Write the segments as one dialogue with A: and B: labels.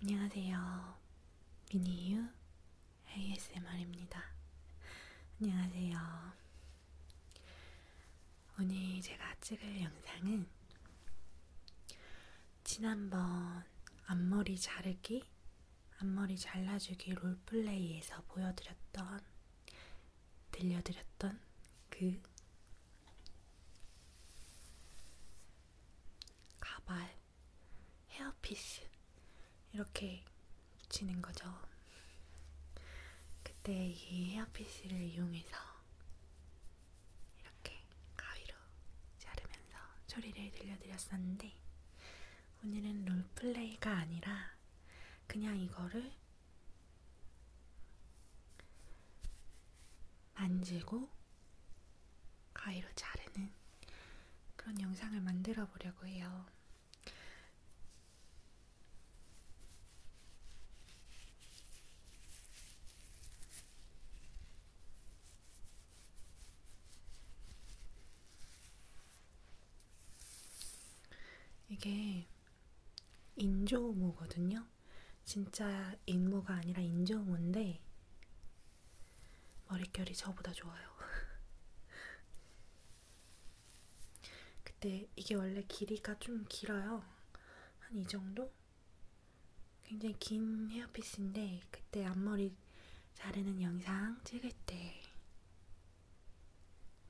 A: 안녕하세요. 미니유 ASMR입니다. 안녕하세요. 오늘 제가 찍을 영상은 지난번 앞머리 자르기, 앞머리 잘라주기 롤플레이에서 보여드렸던, 들려드렸던 그 가발, 헤어피스 이렇게 붙이는 거죠. 그때 이 헤어피스를 이용해서 이렇게 가위로 자르면서 소리를 들려드렸었는데 오늘은 롤플레이가 아니라 그냥 이거를 만지고 가위로 자르는 그런 영상을 만들어 보려고 해요. 이게 인조모거든요. 진짜 인모가 아니라 인정호인데 머릿결이 저보다 좋아요. 그때 이게 원래 길이가 좀 길어요. 한 이 정도? 굉장히 긴 헤어피스인데 그때 앞머리 자르는 영상 찍을 때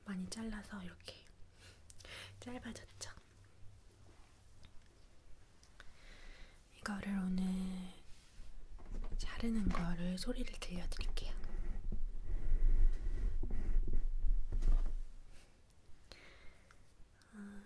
A: 많이 잘라서 이렇게 짧아졌죠. 이거를 오늘 자르는 거를 소리를 들려드릴게요. 음. 음.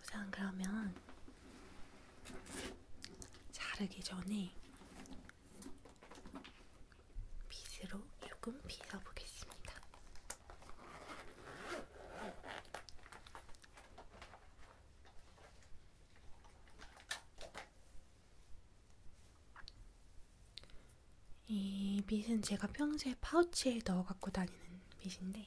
A: 우선 그러면 자르기 전에 빗으로 조금 빗어보겠습니다. 이 빗은 제가 평소에 파우치에 넣어 갖고 다니는 빗인데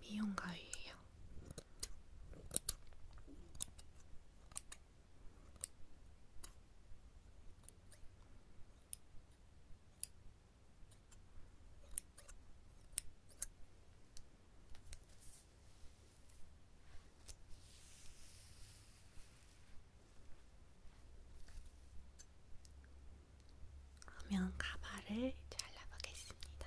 A: 미용 가위예요. 그러면 가발을 잘라보겠습니다.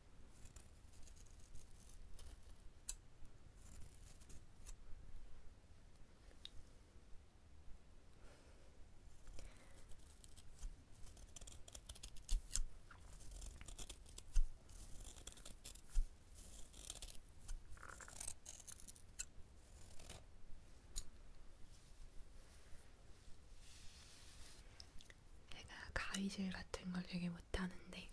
A: 제가 가위질 같은 걸 되게 못하는데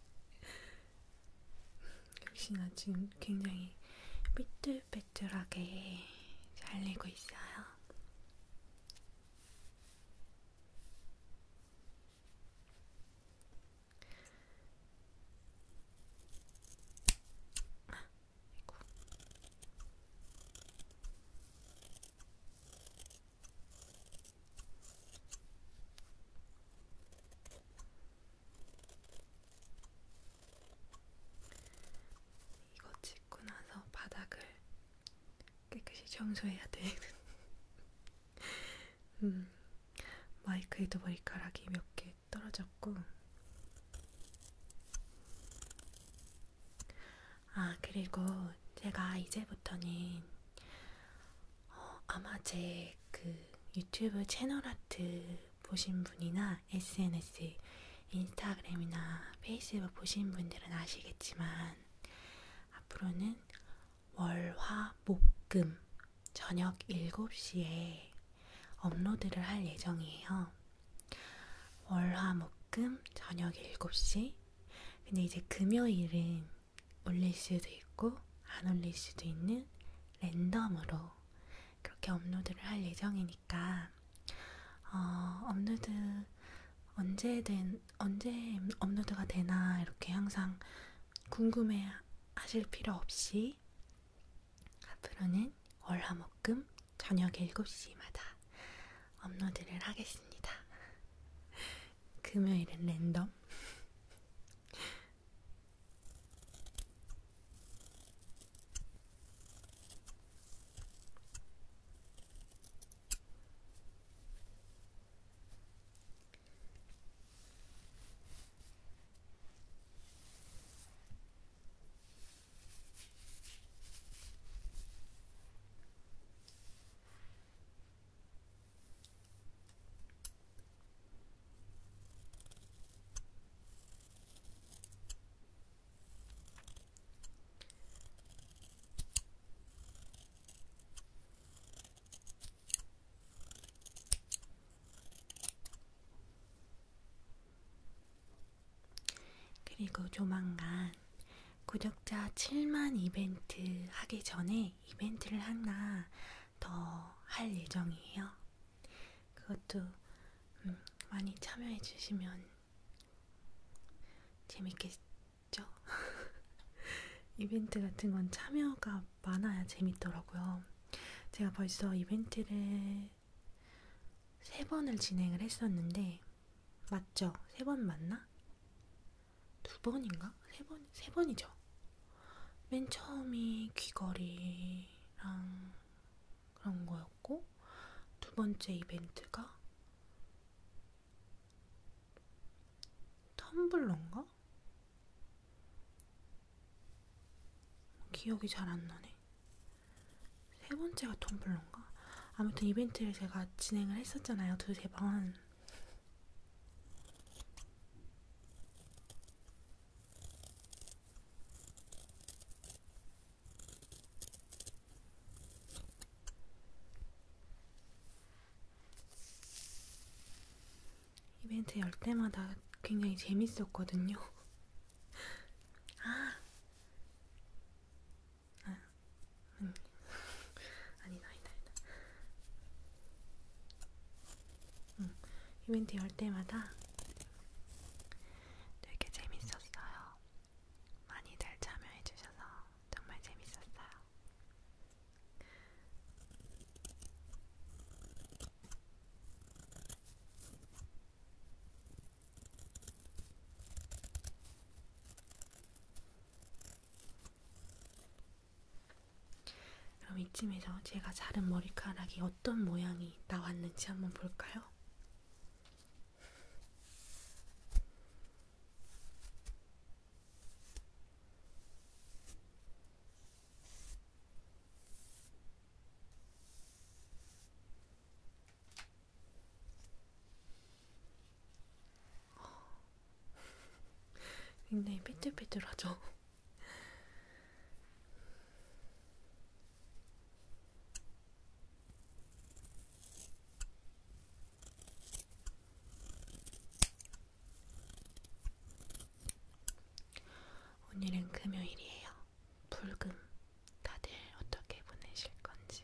A: 역시나 지금 굉장히 삐뚤빼뚤하게 잘리고 있어요. 아이고. 이거 찍고 나서 바닥을 깨끗이 청소해야 돼. 음, 마이크에도 머리카락이 몇 개 떨어졌고. 아, 그리고 제가 이제부터는 어, 아마 제그 유튜브 채널 아트 보신 분이나 SNS, 인스타그램이나 페이스북 보신 분들은 아시겠지만 앞으로는 월화목금 저녁 7시에 업로드를 할 예정이에요. 월화목금 저녁 7시 근데 이제 금요일은 올릴 수도 있고 안 올릴 수도 있는 랜덤으로 그렇게 업로드를 할 예정이니까 어, 업로드 언제 된 언제 업로드가 되나 이렇게 항상 궁금해 하실 필요 없이 앞으로는 월화목금 저녁 7시마다 업로드를 하겠습니다. 금요일엔 랜덤. 그리고 조만간 구독자 7만 이벤트 하기 전에 중에 이벤트를 하나 더 할 예정이에요. 그것도 음, 많이 참여해 주시면 재밌겠죠? 이벤트 같은 건 참여가 많아야 재밌더라고요. 제가 벌써 이벤트를 세 번을 진행을 했었는데 맞죠? 세 번 맞나? 두 번인가? 세 번, 세 번이죠. 맨 처음이 귀걸이랑 그런 거였고, 두 번째 이벤트가 텀블러인가? 기억이 잘 안 나네. 세 번째가 텀블러인가? 아무튼 이벤트를 제가 진행을 했었잖아요. 두 세 번. 이벤트 열 때마다 굉장히 재밌었거든요. 아, 아. 아니, 아니다, 아니다, 아니다. 응, 이벤트 열 때마다 되게 재밌었어요. 많이들 참여해주셔서 정말 재밌었어요. 그럼 이쯤에서 제가 자른 머리카락이 어떤 모양이 나왔는지 한번 볼까요? 굉장히 삐뚤삐뚤하죠. 오늘은 금요일이에요. 불금 다들 어떻게 보내실 건지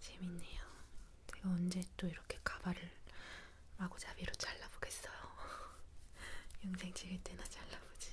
A: 재밌네요. 제가 언제 또 이렇게 가발을 마구잡이로 잘라보겠어요. 영생 찍을 때나 잘라보지.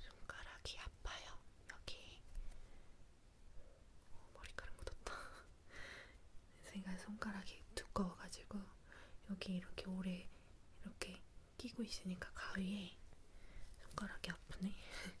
A: 손가락이 아파요. 여기 오, 머리카락 묻었다. 제가 손가락이 두꺼워가지고 여기 이렇게 오래 이렇게 끼고 있으니까 가위에 손가락이 아프네. 아이고.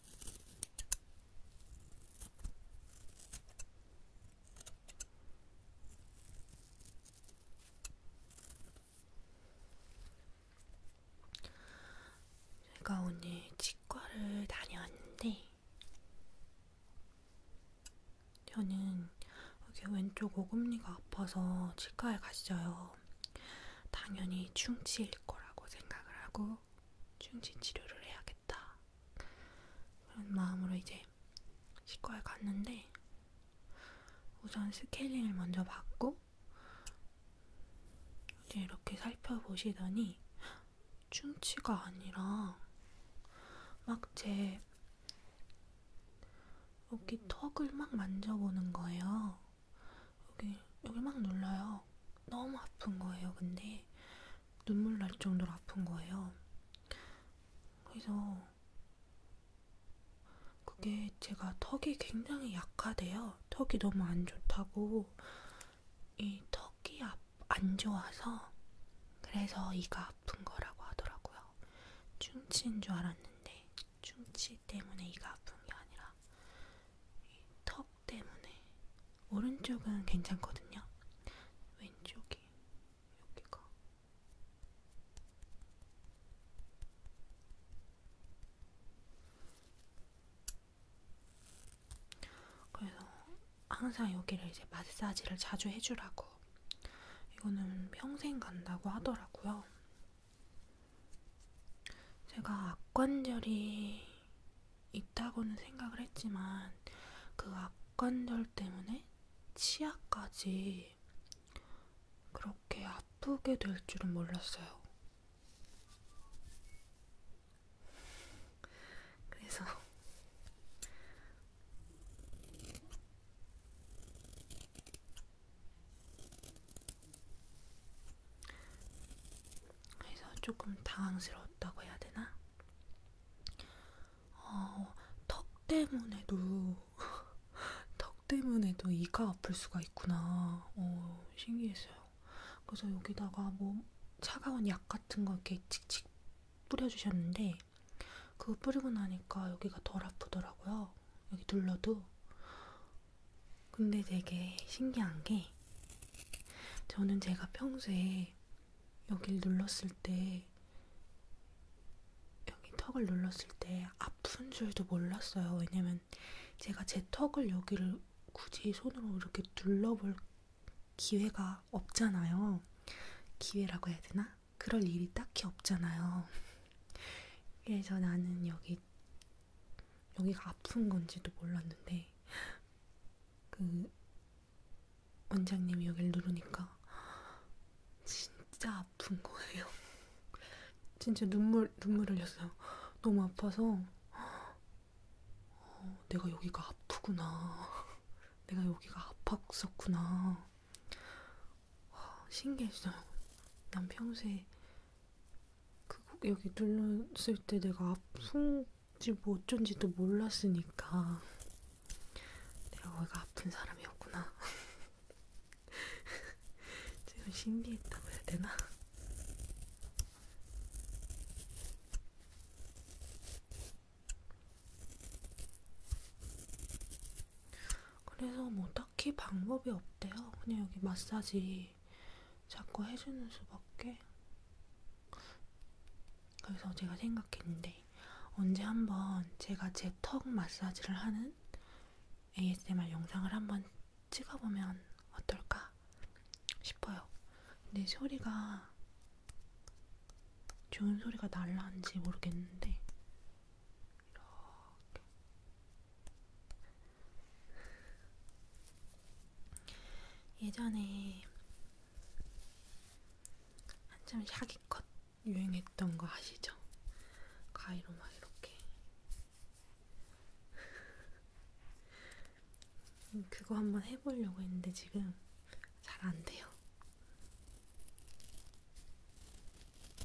A: 제가 오늘 치과를 다녀왔는데 저는 여기 왼쪽 오금니가 아파서 치과에 갔어요. 그래서 당연히 충치일 거라고 생각을 하고 충치 치료를 해야겠다. 그런 마음으로 이제 치과에 갔는데 우선 스케일링을 먼저 받고 이제 이렇게 살펴보시더니 충치가 아니라 막제 여기 턱을 막 만져보는 거예요. 여기 여기 막 눌러요. 너무 아픈 거예요. 근데 눈물 날 정도로 아픈 거예요. 그래서 그게 제가 턱이 굉장히 약하대요. 턱이 너무 안 좋다고 이 턱이 안 좋아서 그래서 이가 아픈 거라고 하더라고요. 충치인 줄 알았는데 충치 때문에 이가 아픈 게 아니라 이턱 턱 때문에 오른쪽은 괜찮거든요. 왼쪽이 여기가 그래서 항상 여기를 이제 마사지를 자주 해주라고 이거는 평생 간다고 하더라고요. 제가 악관절이 있다고는 생각을 했지만 그 악관절 때문에 치아까지 그렇게 아프게 될 줄은 몰랐어요. 그래서 그래서 조금 당황스러웠다고 해야 되나? 어, 턱 때문에도 턱 때문에도 이가 아플 수가 있구나. 어, 신기했어요. 그래서 여기다가 뭐 차가운 약 같은 거 이렇게 칙칙 뿌려주셨는데 그거 뿌리고 나니까 여기가 덜 아프더라고요. 여기 눌러도 근데 되게 신기한 게 저는 제가 평소에 여기를 눌렀을 때 여기 턱을 눌렀을 때 아픈 줄도 몰랐어요. 왜냐면 제가 제 턱을 여기를 굳이 손으로 이렇게 눌러볼 기회가 없잖아요. 기회라고 해야 되나? 그럴 일이 딱히 없잖아요. 그래서 나는 여기 여기가 아픈 건지도 몰랐는데 그 원장님이 여기를 누르니까 진짜 아픈 거예요. 진짜 눈물 눈물 흘렸어요. 너무 아파서 어, 내가 여기가 아프구나. 내가 여기가 아팠었구나. 와, 신기했어요. 난 평소에 그 여기 눌렀을 때 내가 아픈지 뭐 어쩐지도 몰랐으니까 내가 거기가 아픈 사람이었구나. 지금 신기했다고 해야 되나? 그래서 뭐 딱히 방법이 없대요. 그냥 여기 마사지 자꾸 해주는 수밖에. 그래서 제가 생각했는데 언제 한번 제가 제 턱 마사지를 하는 ASMR 영상을 한번 찍어보면 어떨까 싶어요. 근데 소리가 좋은 소리가 날라는지 모르겠는데 이렇게 예전에 한참 샤기컷 유행했던 거 아시죠? 가위로 막 이렇게 그거 한번 해보려고 했는데 지금 잘 안 돼요.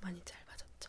A: 많이 짧아졌죠.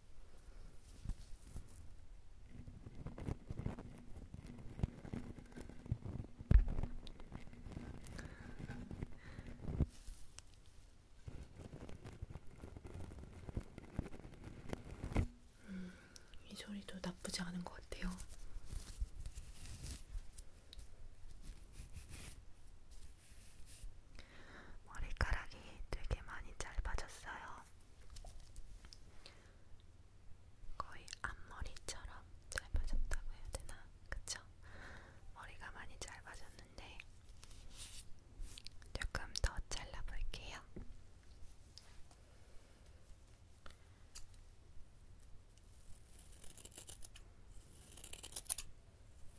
A: 음, 이 소리도 나쁘지 않은 것 같아요. 머리카락이 되게 많이 짧아졌어요. 거의 앞머리처럼 짧아졌다고 해야 되나? 그쵸? 머리가 많이 짧아졌는데 조금 더 잘라볼게요.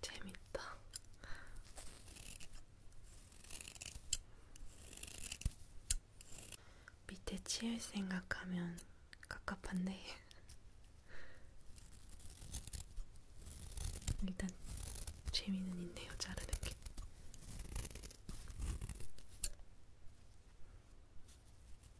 A: 재밌다. 밑에 치울 생각하면 갑갑한데 일단 재미는 있네요 자르는 게.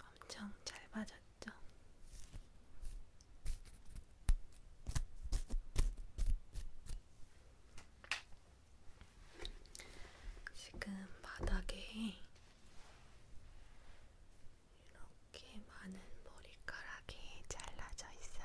A: 엄청 잘 맞았죠? 지금 바닥에 이렇게 많은 머리카락이 잘라져 있어요.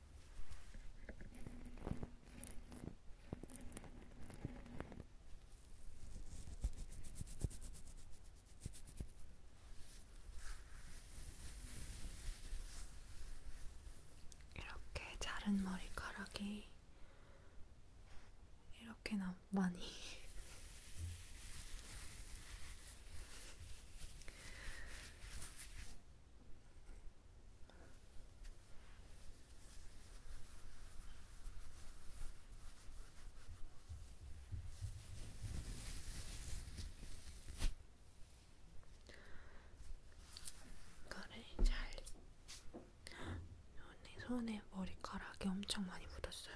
A: 이렇게 자른 머리카락이 이렇게나 많이 이거를 잘 언니 손에 머리카락이 엄청 많이 묻었어요.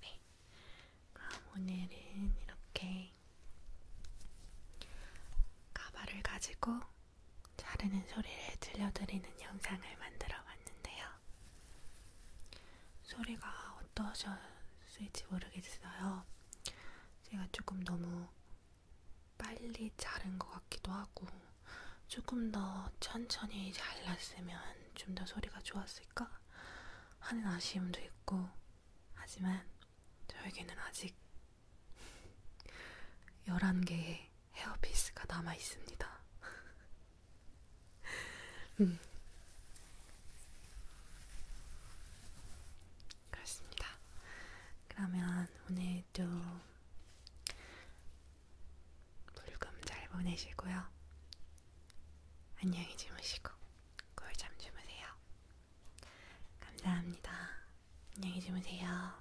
A: 네, 그럼 오늘은 이렇게 가발을 가지고 자르는 소리를 들려드리는 영상을 만들어 봤는데요. 소리가 어떠셨을지 모르겠어요. 제가 조금 너무 빨리 자른 것 같기도 하고, 조금 더 천천히 잘랐으면 좀 더 소리가 좋았을까 하는 아쉬움도 있고, 하지만 저에게는 아직 11개의 헤어피스가 남아 있습니다. 음. 그렇습니다. 그러면 오늘도 불금 잘 보내시고요. 안녕히 주무시고 꿀잠 주무세요. 감사합니다. 안녕히 주무세요.